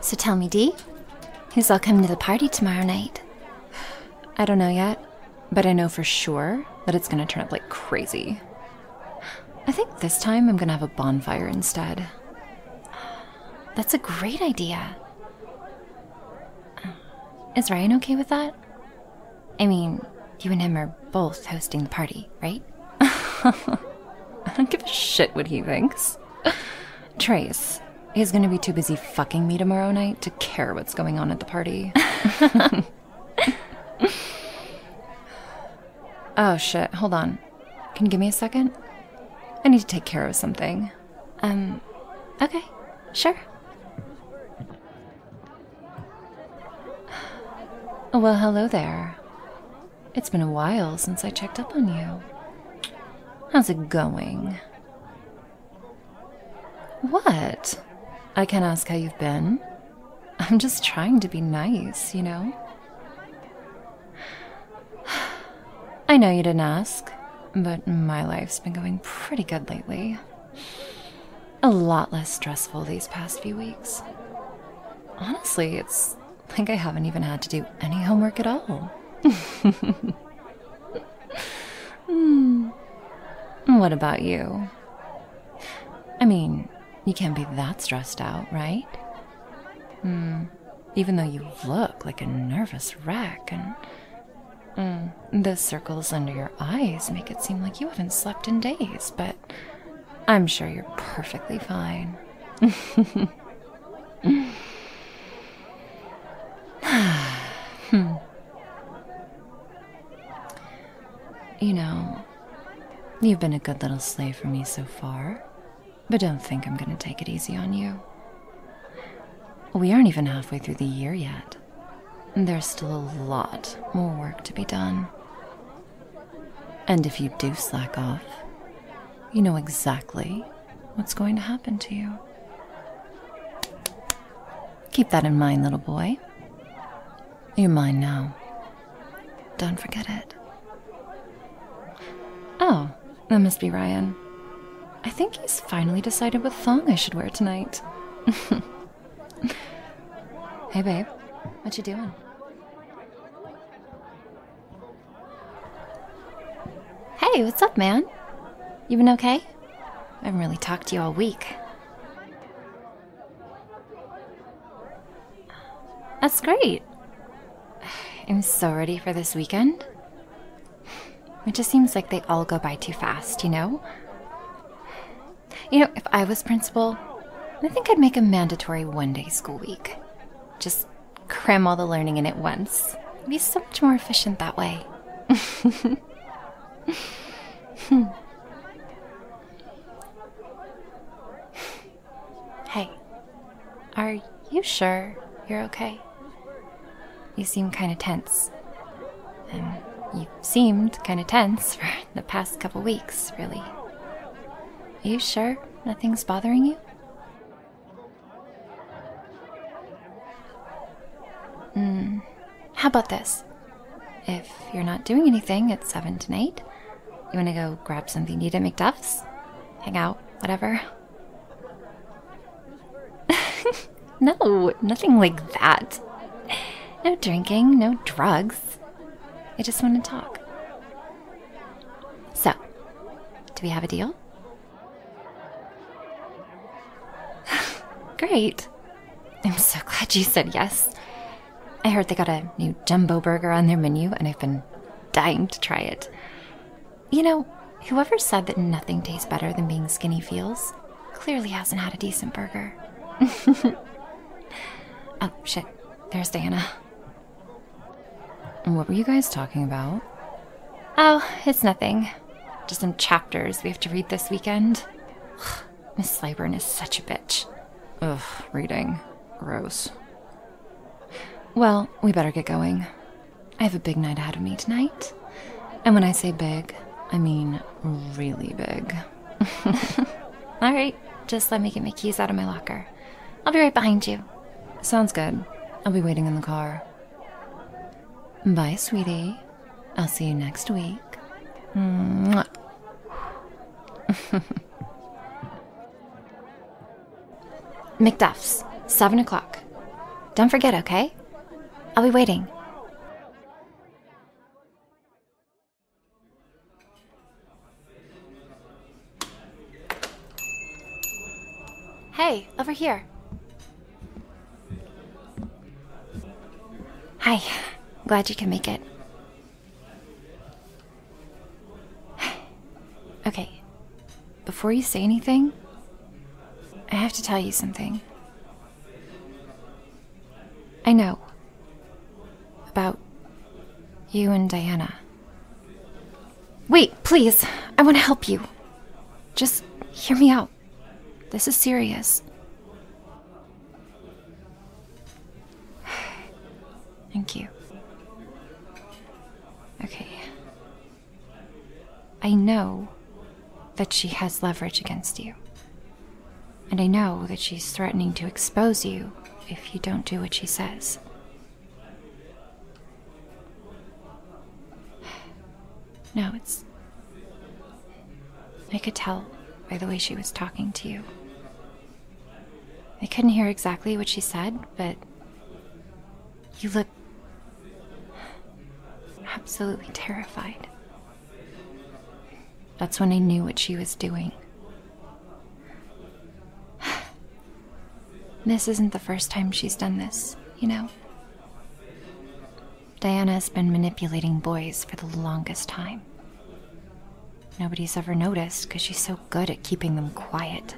So tell me, Dee, who's all coming to the party tomorrow night? I don't know yet, but I know for sure that it's gonna turn up like crazy. I think this time I'm gonna have a bonfire instead. That's a great idea. Is Ryan okay with that? I mean, you and him are both hosting the party, right? I don't give a shit what he thinks. Trace, he's gonna be too busy fucking me tomorrow night to care what's going on at the party. oh shit, hold on. Can you give me a second? I need to take care of something. Um, okay, sure. Well, hello there. It's been a while since I checked up on you. How's it going? What? I can ask how you've been. I'm just trying to be nice, you know? I know you didn't ask, but my life's been going pretty good lately a lot less stressful these past few weeks. Honestly, it's like I haven't even had to do any homework at all. Hmm. What about you? I mean, you can't be that stressed out, right? Hmm. Even though you look like a nervous wreck and Mm. the circles under your eyes make it seem like you haven't slept in days, but I'm sure you're perfectly fine. You know, you've been a good little slave for me so far, but don't think I'm going to take it easy on you. We aren't even halfway through the year yet. There's still a lot more work to be done. And if you do slack off, you know exactly what's going to happen to you. Keep that in mind, little boy. You're mine now. Don't forget it. Oh, that must be Ryan. I think he's finally decided what thong I should wear tonight. hey babe, what you doing? Hey, what's up, man? You been okay? I haven't really talked to you all week. That's great. I'm so ready for this weekend. It just seems like they all go by too fast, you know? You know, if I was principal, I think I'd make a mandatory one day school week. Just cram all the learning in at once. be so much more efficient that way. Hmm. Hey, are you sure you're okay? You seem kind of tense. Um, you seemed kind of tense for the past couple weeks, really. Are you sure nothing's bothering you? Hmm. How about this? If you're not doing anything at 7 tonight, you want to go grab something to eat at McDuff's? Hang out, whatever. no, nothing like that. No drinking, no drugs. I just want to talk. So, do we have a deal? Great. I'm so glad you said yes. I heard they got a new jumbo burger on their menu, and I've been dying to try it. You know, whoever said that nothing tastes better than being skinny feels clearly hasn't had a decent burger. oh, shit. There's Diana. What were you guys talking about? Oh, it's nothing. Just some chapters we have to read this weekend. Miss Slyburn is such a bitch. Ugh, reading. Gross. Well, we better get going. I have a big night ahead of me tonight. And when I say big, I mean really big. All right, just let me get my keys out of my locker. I'll be right behind you. Sounds good. I'll be waiting in the car. Bye, sweetie. I'll see you next week. Mwah. McDuff's, 7 o'clock. Don't forget, okay? I'll be waiting. Hey, over here. Hi, glad you can make it. okay. Before you say anything, I have to tell you something. I know. About you and Diana. Wait, please. I want to help you. Just hear me out. This is serious. Thank you. Okay. I know that she has leverage against you. And I know that she's threatening to expose you if you don't do what she says. No, it's. I could tell by the way she was talking to you. I couldn't hear exactly what she said, but you look absolutely terrified. That's when I knew what she was doing. This isn't the first time she's done this, you know? Diana has been manipulating boys for the longest time. Nobody's ever noticed because she's so good at keeping them quiet.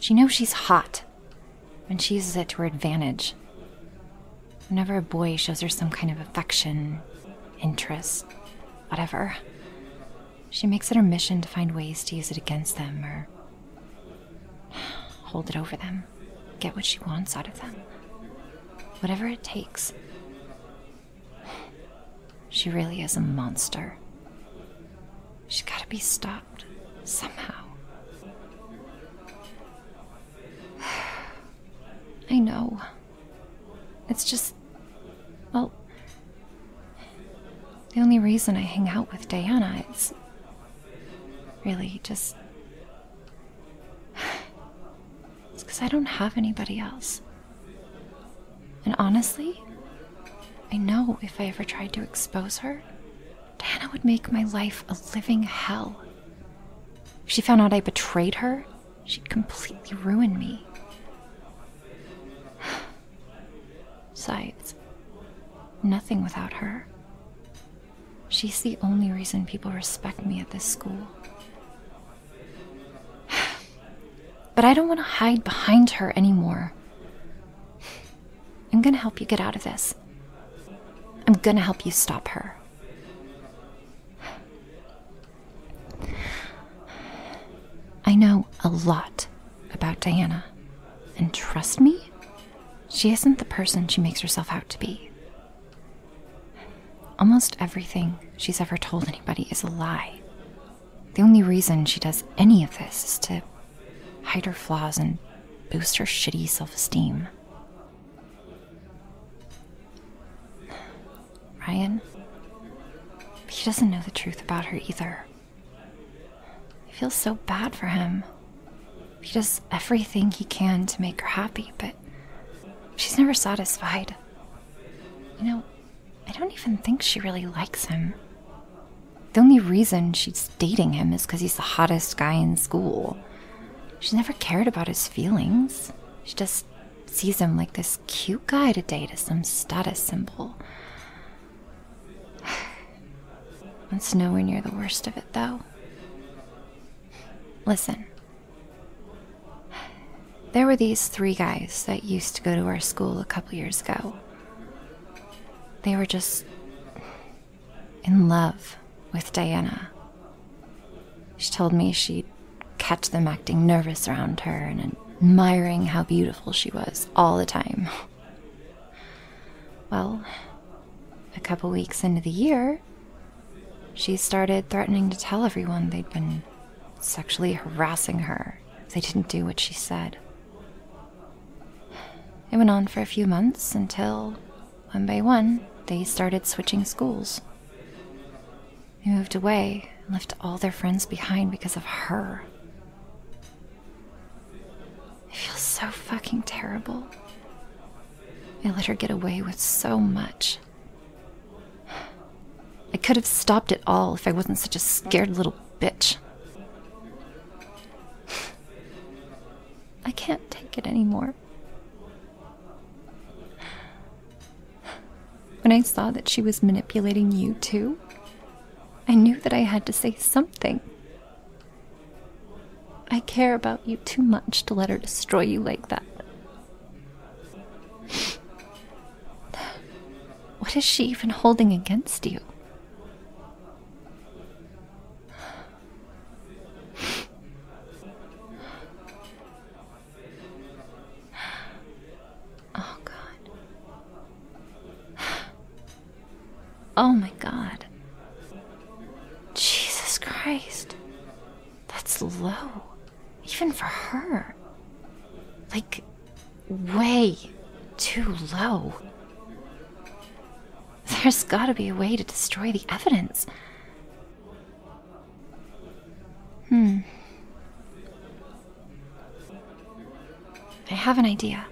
She knows she's hot, and she uses it to her advantage. Whenever a boy shows her some kind of affection, interest, whatever, she makes it her mission to find ways to use it against them or hold it over them, get what she wants out of them. Whatever it takes. She really is a monster. She's gotta be stopped somehow. I know. It's just. Well. The only reason I hang out with Diana is. Really, just. It's because I don't have anybody else. And honestly, I know if I ever tried to expose her, Diana would make my life a living hell. If she found out I betrayed her, she'd completely ruin me. Besides, nothing without her. She's the only reason people respect me at this school. but I don't want to hide behind her anymore. I'm going to help you get out of this. I'm going to help you stop her. I know a lot about Diana, and trust me, she isn't the person she makes herself out to be. Almost everything she's ever told anybody is a lie. The only reason she does any of this is to hide her flaws and boost her shitty self esteem. Ryan, he doesn't know the truth about her either. I feel so bad for him. He does everything he can to make her happy, but she's never satisfied. You know, I don't even think she really likes him. The only reason she's dating him is because he's the hottest guy in school. She never cared about his feelings. She just sees him like this cute guy to date as some status symbol. It's nowhere near the worst of it, though. Listen. There were these three guys that used to go to our school a couple years ago. They were just in love with Diana. She told me she'd catch them acting nervous around her and admiring how beautiful she was all the time. Well, a couple weeks into the year, she started threatening to tell everyone they'd been sexually harassing her if they didn't do what she said. It went on for a few months until, one by one, they started switching schools. They moved away and left all their friends behind because of her. It feels so fucking terrible. I let her get away with so much. I could have stopped it all if I wasn't such a scared little bitch. I can't take it anymore. When I saw that she was manipulating you too, I knew that I had to say something. I care about you too much to let her destroy you like that. What is she even holding against you? Oh, God. Oh, my God. Jesus Christ. That's low. Even for her. Like, way too low. There's gotta be a way to destroy the evidence. Hmm. I have an idea.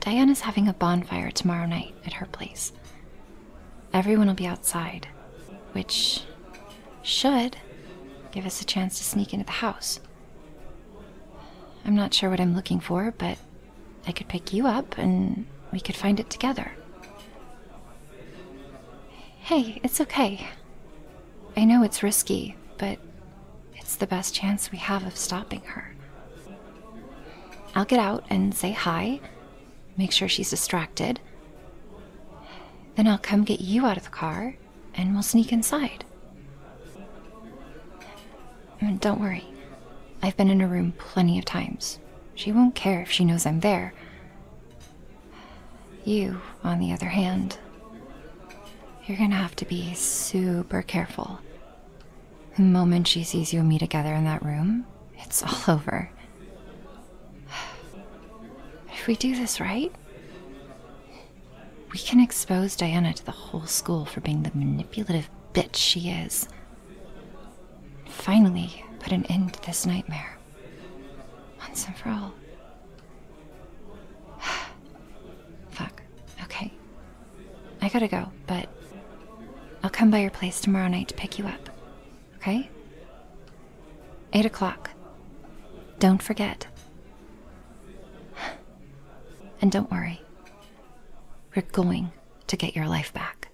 Diana's having a bonfire tomorrow night at her place. Everyone will be outside, which should give us a chance to sneak into the house. I'm not sure what I'm looking for, but I could pick you up and we could find it together. Hey, it's okay. I know it's risky, but it's the best chance we have of stopping her. I'll get out and say hi, make sure she's distracted. Then I'll come get you out of the car and we'll sneak inside. Mm, don't worry. I've been in her room plenty of times. She won't care if she knows I'm there. You, on the other hand, you're gonna have to be super careful. The moment she sees you and me together in that room, it's all over. if we do this right, we can expose Diana to the whole school for being the manipulative bitch she is. Finally, put an end to this nightmare. Once and for all. Fuck. Okay. I gotta go, but I'll come by your place tomorrow night to pick you up. Okay? Eight o'clock. Don't forget. And don't worry, we're going to get your life back.